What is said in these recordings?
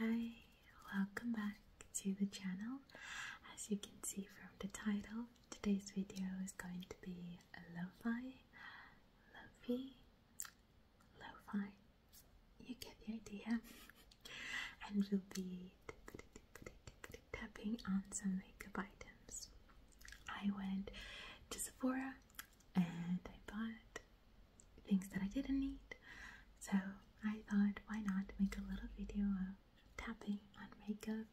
Hi, welcome back to the channel. As you can see from the title, today's video is going to be a lo-fi, lo-fi, you get the idea, and we'll be tapping on some makeup items. I went to Sephora and I bought things that I didn't need. So I thought, why not make a little video of tapping on makeup?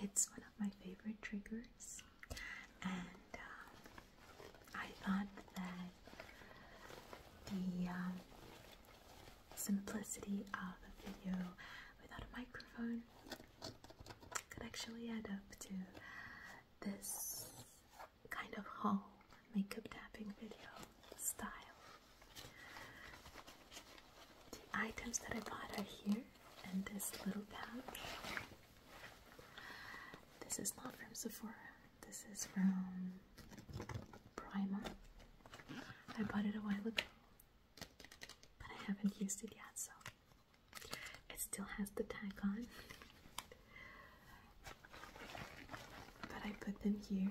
It's one of my favorite triggers, and uh, I thought that the um, simplicity of a video without a microphone could actually add up to this kind of haul makeup tapping video style. The items that I bought are here in this little pouch. This is not from Sephora, this is from Primer. I bought it a while ago, but I haven't used it yet, so it still has the tag on. But I put them here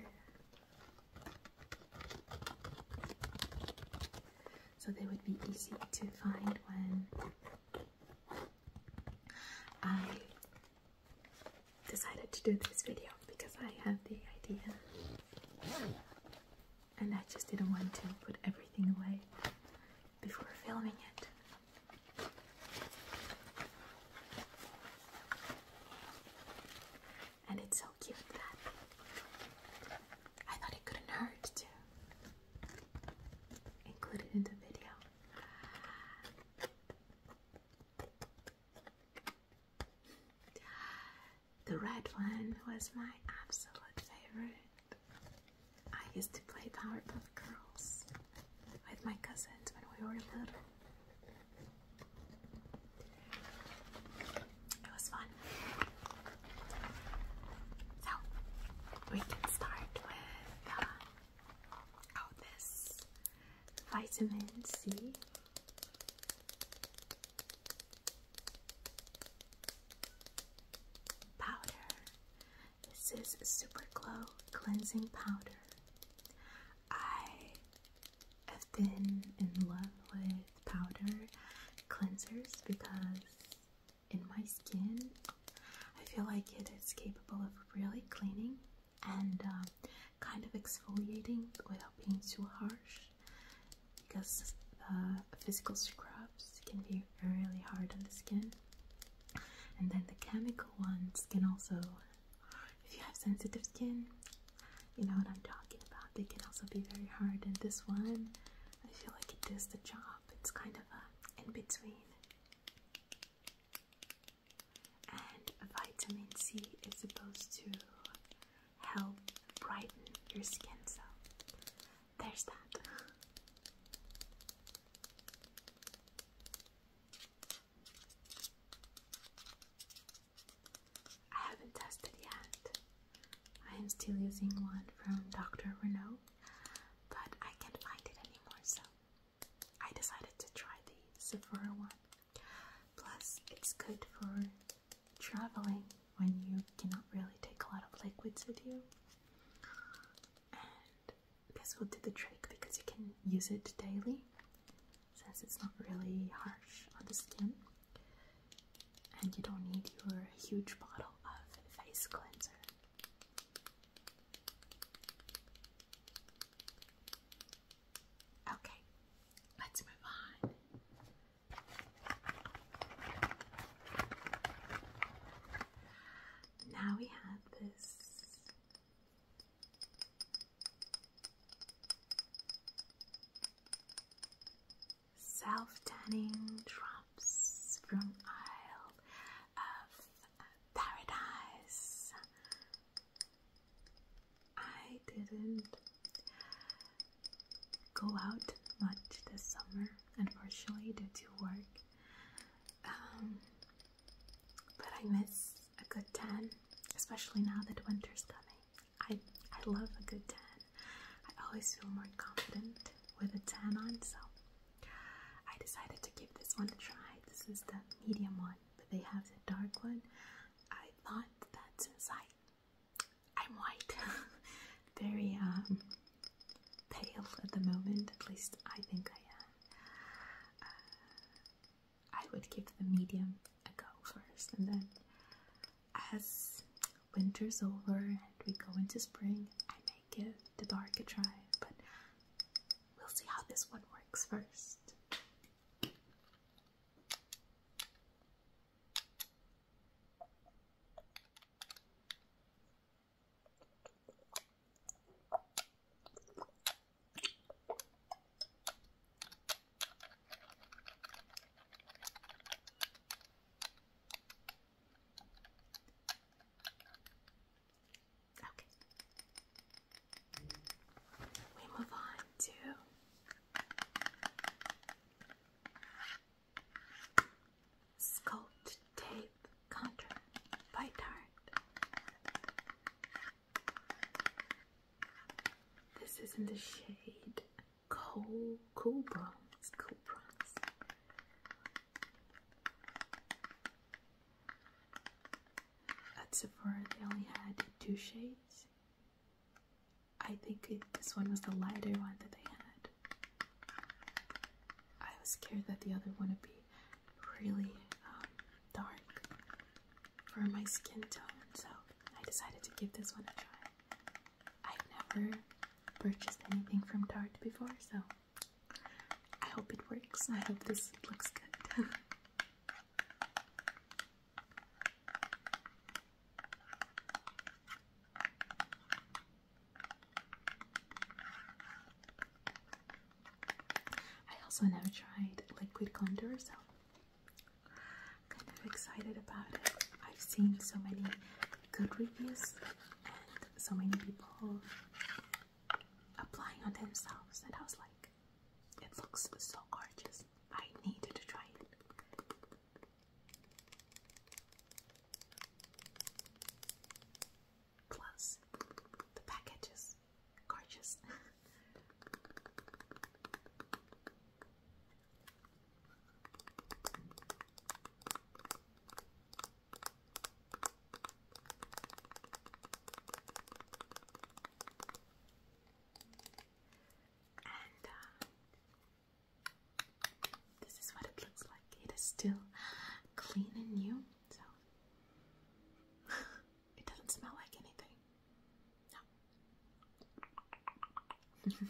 so they would be easy to find when I decided to do this video because I had the idea and I just didn't want to put everything away before filming it. And it's so cute that I thought it couldn't hurt to include it in the video. The red one was my absolute favorite. I used to play Powerpuff Girls with my cousins when we were little. It was fun. So we can start with uh, this vitamin C. Powder. This is Super Glow Cleansing Powder. I have been in love with powder cleansers because in my skin, I feel like it is capable of really cleaning and um, kind of exfoliating without being too harsh because physical scrubs can be really hard on the skin. And then the chemical ones can also, if you have sensitive skin, you know what I'm talking about. They can also be very hard. And this one, I feel like it does the job. It's kind of a in between. And vitamin C is supposed to help brighten your skin, so there's that. I haven't tested yet. I am still using one from Dr. Renault, but I can't find it anymore, so I decided to try the Sephora one. Plus, it's good for traveling when you cannot really take a lot of liquids with you. I this will do the trick because you can use it daily since it's not really harsh on the skin and you don't need your huge bottle of face cleanser. Okay, let's move on. Now we have the this. Self tanning drops from Isle of Paradise. I didn't go out much this summer, unfortunately, due to work. Um, but I miss a good tan, especially now that winter's coming. I, I love a good tan. I always feel more confident with a tan on, so I decided to give this one a try. This is the medium one, but they have the dark one. I thought that's since I, I'm white, very um, pale at the moment, at least I think I am. Uh, I would give the medium a go first, and then as winter's over and we go into spring, I may give the dark a try, but we'll see how this one works first. Okay. We move on to Sculpt Tape Contour by Tarte. This is in the shade Cool, cool Bronze. Cool Bronze. At Sephora, they only had two shades. I think this one was the lighter one that they had. I was scared that the other one would be really um, dark for my skin tone, so I decided to give this one a try. I've never purchased anything from Tarte before, so I hope it works. I hope this looks good. I also never tried liquid contour, so I'm kind of excited about it. I've seen so many good reviews and so many people applying on themselves, and I was like, it looks so gorgeous. I needed to try it. Plus, the package is gorgeous. and uh, this is what it looks like. It is still clean and new, so it doesn't smell like anything.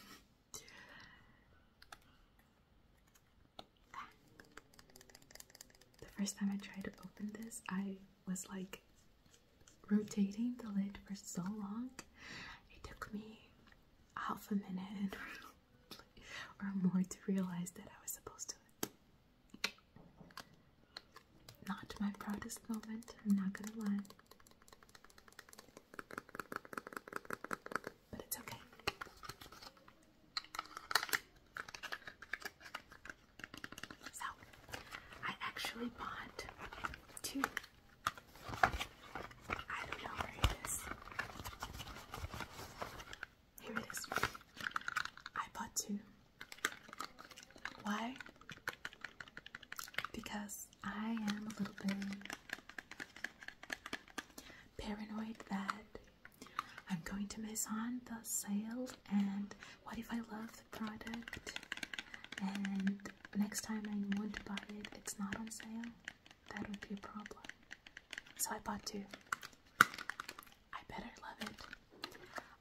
the first time I tried to open this, I was like rotating the lid for so long. It took me half a minute or more to realize that I was supposed to. Not my proudest moment, I'm not gonna lie. But it's okay. So, I actually bought two. I don't know where it is. Here it is. I bought two. Why? Because I am a little bit paranoid that I'm going to miss on the sale and what if I love the product and next time I want to buy it, it's not on sale that would be a problem. So I bought two. I better love it.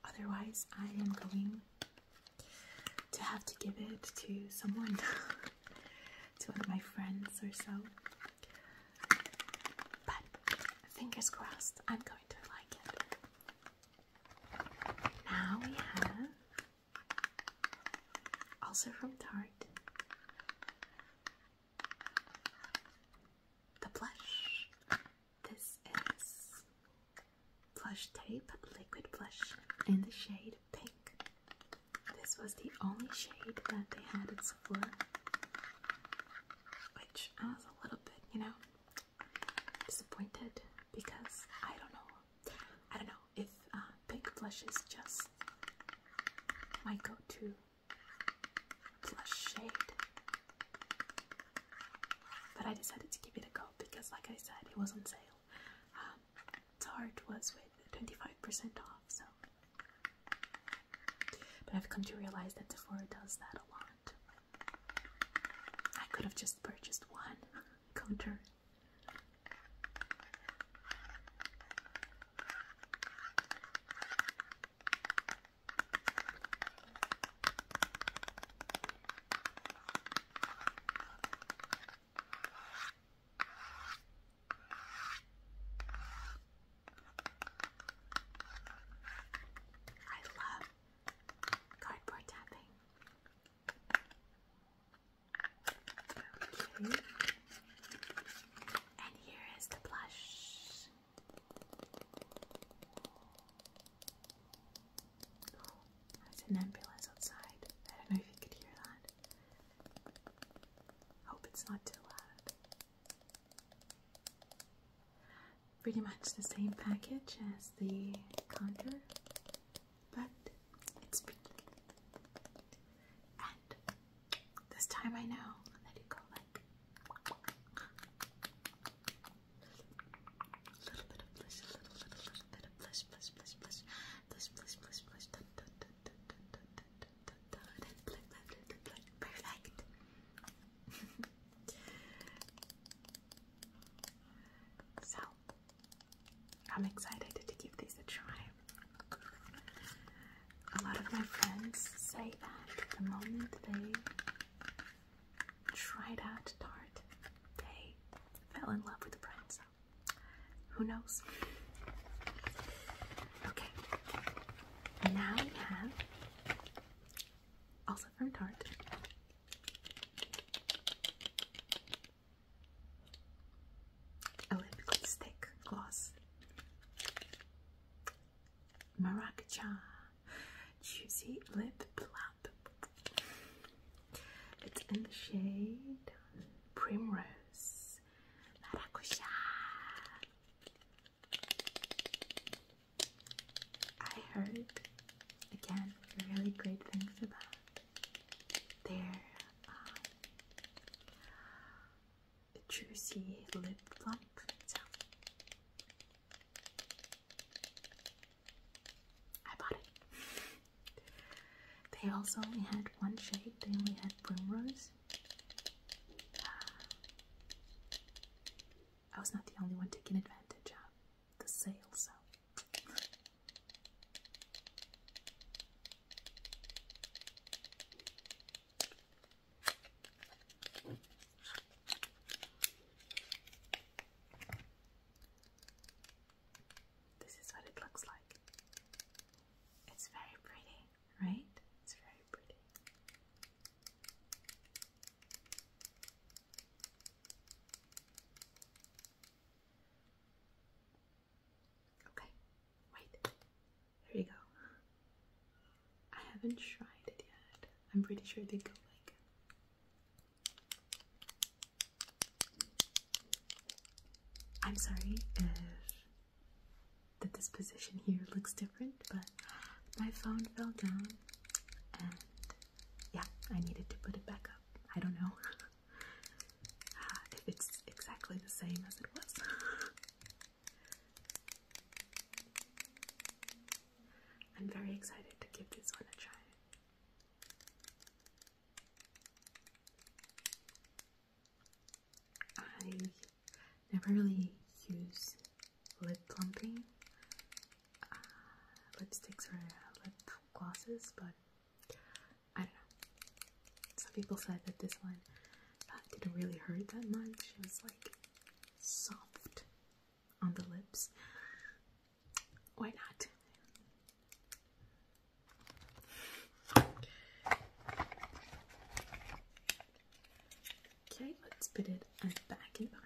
Otherwise, I am going to have to give it to someone, to one of my friends or so. But fingers crossed, I'm going to like it. Now we have, also from Tarte, the blush. This is Plush Tape Liquid Blush in the shade Pink. This was the only shade that they had at Sephora, which I was a little bit, you know, disappointed because I don't know. I don't know if uh, pink blush is just my go to blush shade. But I decided to give it a go because, like I said, it was on sale. Um, Tarte was with 25% off, so. But I've come to realize that Sephora does that a lot. I could have just purchased one counter. I love cardboard tapping. And here is the blush. Oh, there's an ambulance outside. I don't know if you could hear that. Hope it's not too loud. Pretty much the same package as the contour, but it's pink. This time I know. then you go like a little bit of bliss, a little, little, little bit of bliss, bliss, bliss, bliss, bliss, bliss, bliss, bliss, dun, dun, dun, dun, dun, dun, dun, dun, dun, dun, dun, dun, dun, perfect. so, I'm excited to give these a try. A lot of my friends say that the moment they tried out Tarte, they fell in love with the brand, so who knows? Okay, now we have, also from Tarte, a lip stick gloss, maracuja juicy lip plump. It's in the shade primrose maracuja. I heard again really great things about their a uh, juicy lip plump. I bought it. they also only had one shade, they only had Primrose. Uh, I was not the only one taking advantage of the sale, so. This is what it looks like. It's very pretty, right? It's very pretty. Okay, wait. Here we go. I haven't tried it yet. I'm pretty sure they go like I'm sorry if the position here looks different, but my phone fell down and yeah, I needed to put it back up. I don't know. Ah, it's exactly the same as it was. I'm very excited to give this one a try. I never really use lip plumping uh, lipsticks or uh, lip glosses, but I don't know. Some people said that this one uh, didn't really hurt that much. It was like soft on the lips. Why not? Okay, let's put it back in the box.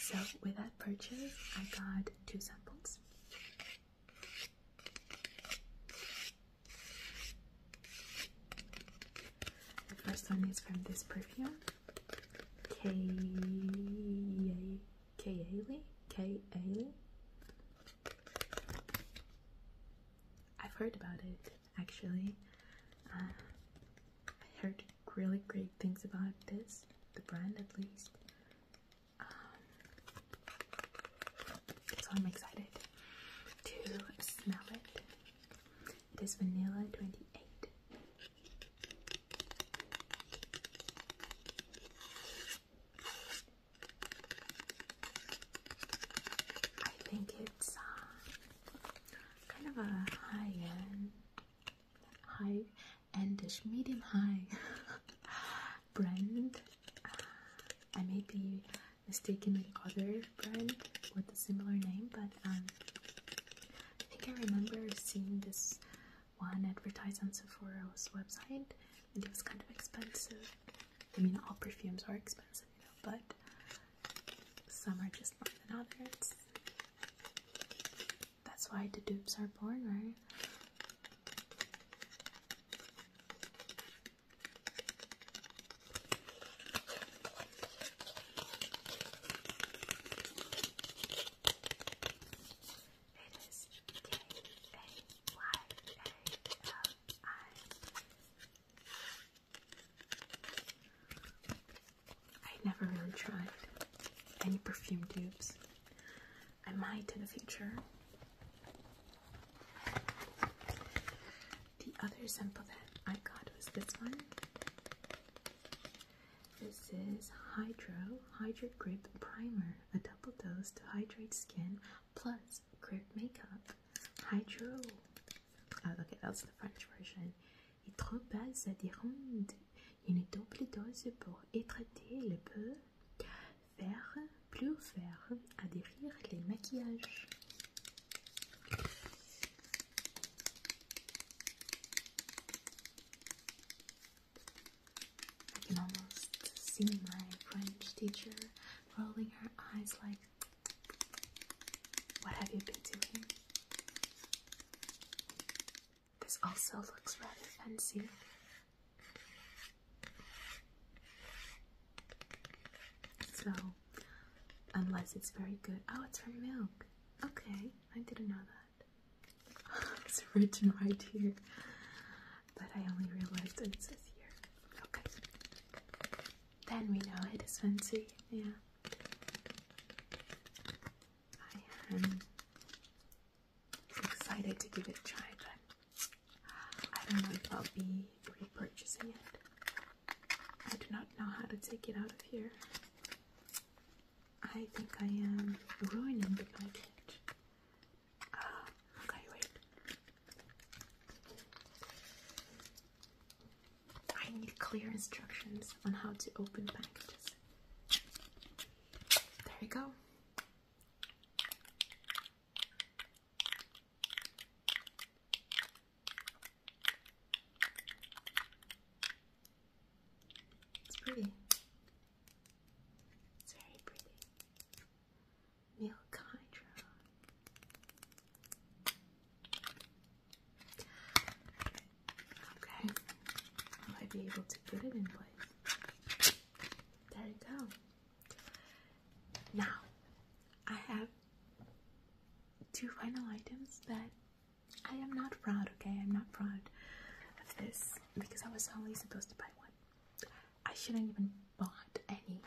So with that purchase, I got two samples. The first one is from this perfume, K A K Ailey K I've heard about it actually. Uh, I heard really great things about this, the brand at least. Um, so I'm excited to smell it. It is vanilla 28. I think it's uh, kind of a high end high endish medium high brand. Uh, I may be mistaken with other brand with a similar name, but um, I think I remember seeing this one advertised on Sephora's website, and it was kind of expensive. I mean, all perfumes are expensive, you know, but some are just more than others. That's why the dupes are born, right? I never really tried any perfume tubes. I might in the future. The other sample that I got was this one. This is Hydro Hydro Grip Primer, a double dose to hydrate skin plus grip makeup. Hydro. Oh, okay, that's the French version. et trop bas adhérentes, une double dose pour étrater le peu, faire, plus faire, adhérir les maquillages. I can almost see my French teacher rolling her eyes like, What have you been doing? This also looks rather fancy. So, unless it's very good. Oh, it's from milk. Okay, I didn't know that. it's written right here. But I only realized it says here. Okay. Then we know it is fancy. Yeah. I am excited to give it a try, but I don't know if I'll be repurchasing it. I do not know how to take it out of here. I think I am ruining the package. Ah, okay, wait. I need clear instructions on how to open packages. There you go. It's pretty. It's very pretty. Milk Hydra. Okay, will I be able to put it in place? There you go. Now, I have two final items that I am not proud, okay? I'm not proud of this because I was only supposed to buy one. I shouldn't even bought any,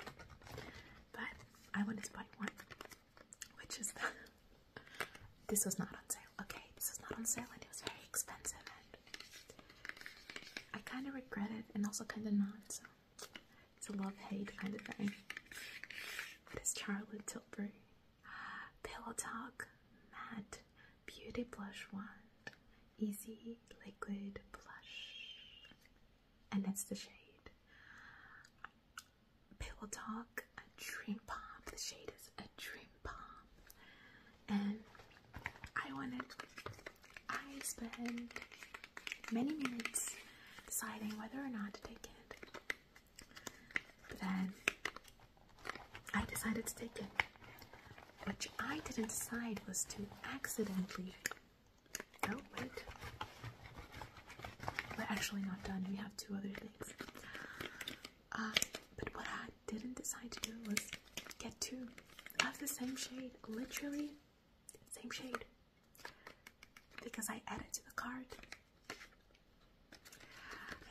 but I wanted to buy one which is that this was not on sale. Okay, this was not on sale and it was very expensive and I kind of regret it and also kind of not. So it's a love-hate kind of thing. It is Charlotte Tilbury. Pillow Talk Matte Beauty Blush Wand. Easy Liquid Blush. And that's the shade. Pillow Talk, a dream pop. The shade is a dream pop. And I wanted, I spent many minutes deciding whether or not to take it. But then I decided to take it. Which I didn't decide was to accidentally. Oh, wait. We're actually not done. We have two other uh, but what I didn't decide to do was get two of the same shade, literally same shade, because I added to the card,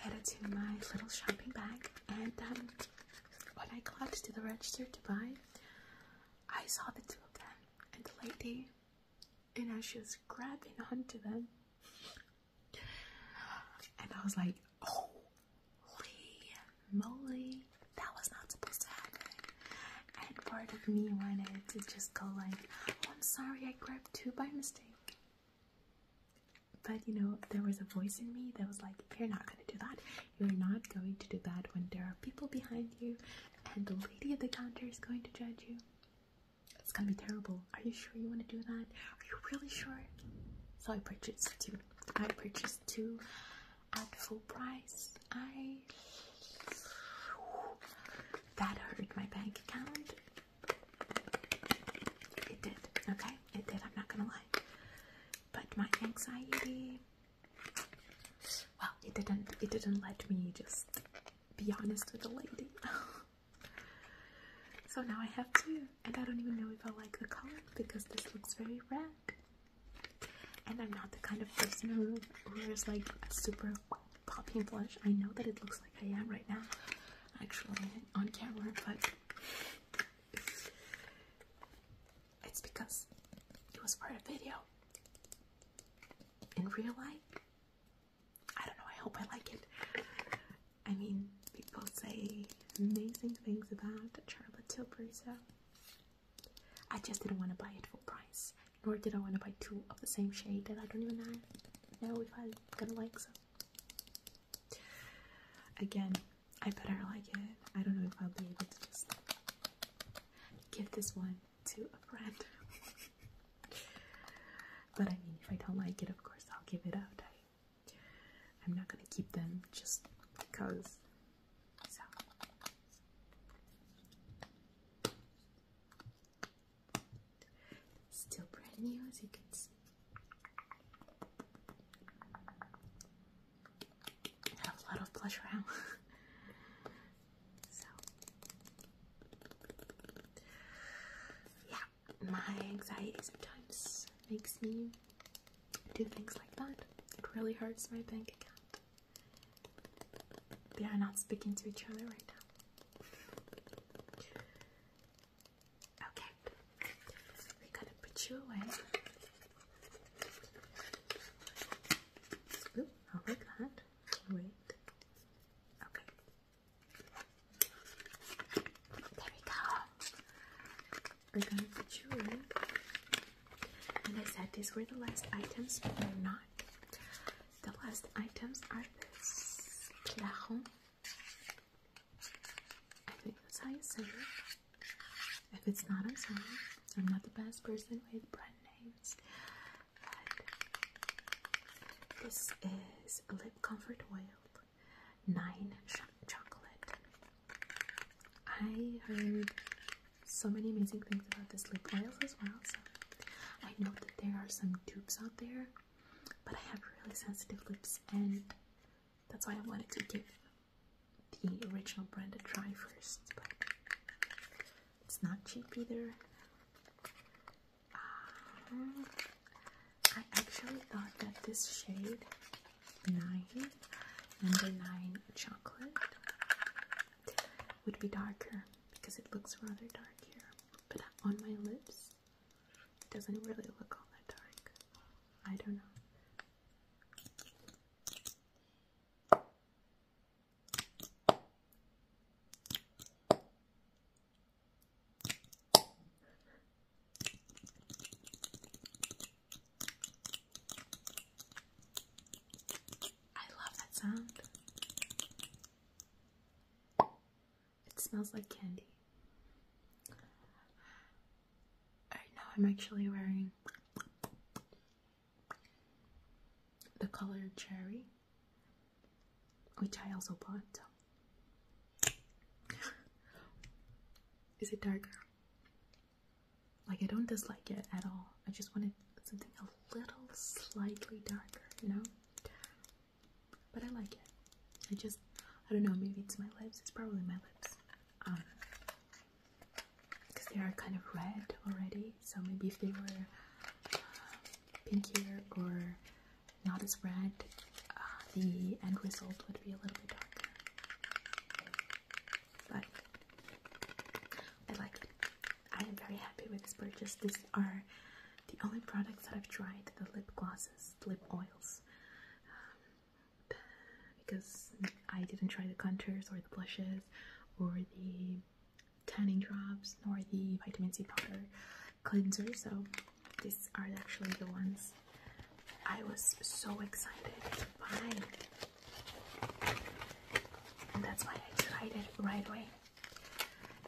added to my little shopping bag, and um, when I got to the register to buy, I saw the two of them, and the lady and I was just grabbing onto them. And I was like, holy moly, that was not supposed to happen. And part of me wanted to just go like, oh, I'm sorry, I grabbed two by mistake. But you know, there was a voice in me that was like, you're not gonna do that. You're not going to do that when there are people behind you and the lady at the counter is going to judge you. It's gonna be terrible. Are you sure you want to do that? Are you really sure? So I purchased two. I purchased two at full price. I that hurt my bank account. It did. Okay, it did. I'm not gonna lie. But my anxiety. Well, it didn't. It didn't let me just be honest with the lady. so now I have two, and I don't even know if I like the color because this looks very red. And I'm not the kind of person who wears like a super popping blush. I know that it looks like I am right now, actually, on camera, but it's because it was part of video. In real life, I don't know. I hope I like it. I mean, people say amazing things about Charlotte Tilbury, so I just didn't want to buy it full price, nor did I want to buy two of the same shade that I don't even know if I'm gonna like. So again, I better like it. I don't know if I'll be able to just give this one to a friend. but I mean, if I don't like it, of course I'll give it up. I, am not gonna keep them just because. Still brand new, as you can see. have a lot of blush around. So, yeah, my anxiety sometimes makes me do things like that. It really hurts my bank account. They are not speaking to each other right now. Okay, we're gonna put you away. i like that. Wait. Okay. There we go. We're gonna put you in. And I said these were the last items, but they're not. The last items are this claron. I think that's how you say it. If it's not, I'm sorry. I'm not the best person with brand names this is Lip Comfort Oil, 9 ch Chocolate. I heard so many amazing things about this lip oil as well, so I know that there are some dupes out there, but I have really sensitive lips, and that's why I wanted to give the original brand a try first. It's not cheap either. Uh, I actually thought that this shade 9, number 9 chocolate, would be darker because it looks rather dark here. But on my lips, it doesn't really look all that dark. I don't know. I love that sound. It smells like candy. Right now, I'm actually wearing the color cherry, which I also bought. Is it darker? Like, I don't dislike it at all. I just wanted something a little slightly darker, you know? But I like it. I just, I don't know, maybe it's my lips. It's probably my lips. Um, because they are kind of red already, so maybe if they were pinkier or not as red, uh, the end result would be a little bit darker. But I like it. I am very happy with this purchase. These are the only products that I've tried the lip glosses, lip oils. Um, because I didn't try the contours or the blushes or the tanning drops nor the vitamin C powder cleanser. So these are actually the ones I was so excited to find, And that's why I tried it right away.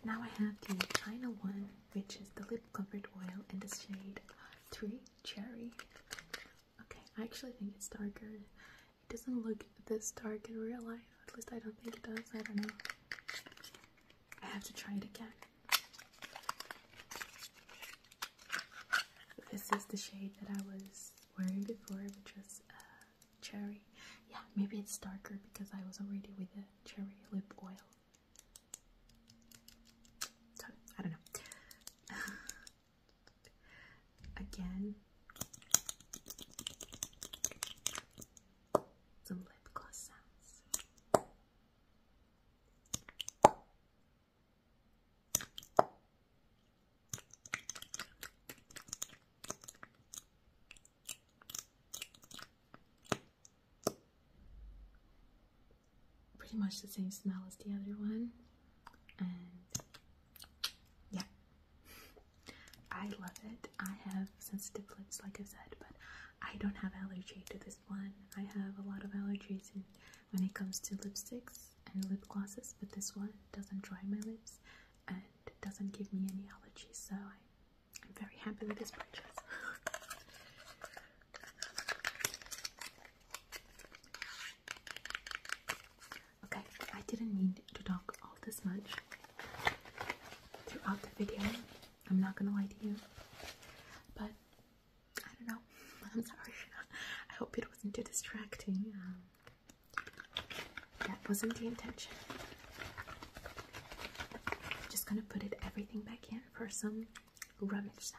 Now I have the final one, which is the lip comfort oil in the shade 3 Cherry. Okay, I actually think it's darker it doesn't look this dark in real life. At least I don't think it does. I don't know. I have to try it again. This is the shade that I was wearing before, which was uh, cherry. Yeah, maybe it's darker because I was already with the cherry lip oil. I don't know. Again, some lip gloss sounds. Pretty much the same smell as the other one, and yeah, I love it. I have sensitive lips, like I said, but I don't have allergy to this one. I have a lot of allergies and when it comes to lipsticks and lip glosses, but this one doesn't dry my lips and doesn't give me any allergies, so I'm very happy with this purchase. Okay, I didn't need to talk all this much throughout the video. I'm not gonna lie to you, but I don't know. I'm sorry. I hope it wasn't too distracting. Um, that wasn't the intention. I'm just gonna put it everything back in for some rummage sounds.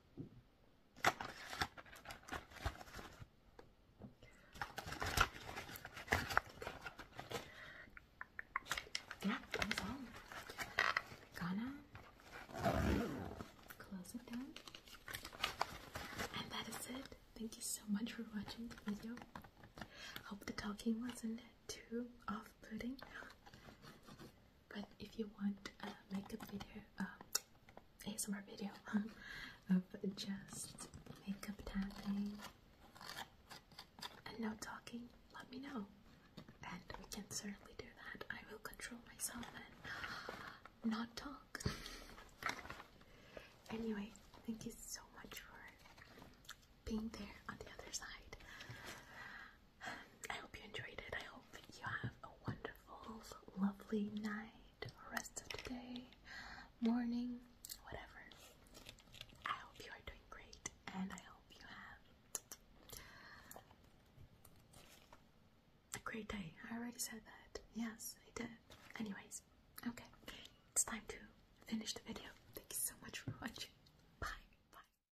Yeah, that all. Gonna close it down. And that is it. Thank you so much for watching the video. Hope the talking wasn't too off-putting. But if you want a makeup video, um, ASMR video of just makeup tapping and no talking, let me know. And we can certainly do that. I will control myself and not talk. anyway, thank you so much for being there on the other side. I hope you enjoyed it. I hope you have a wonderful, lovely night, rest of the day, morning, whatever. I hope you are doing great, and I hope you have a great day. I already said that. Yes, I did. Anyways, okay, it's time to finish the video. Thank you so much for watching. Bye. Bye.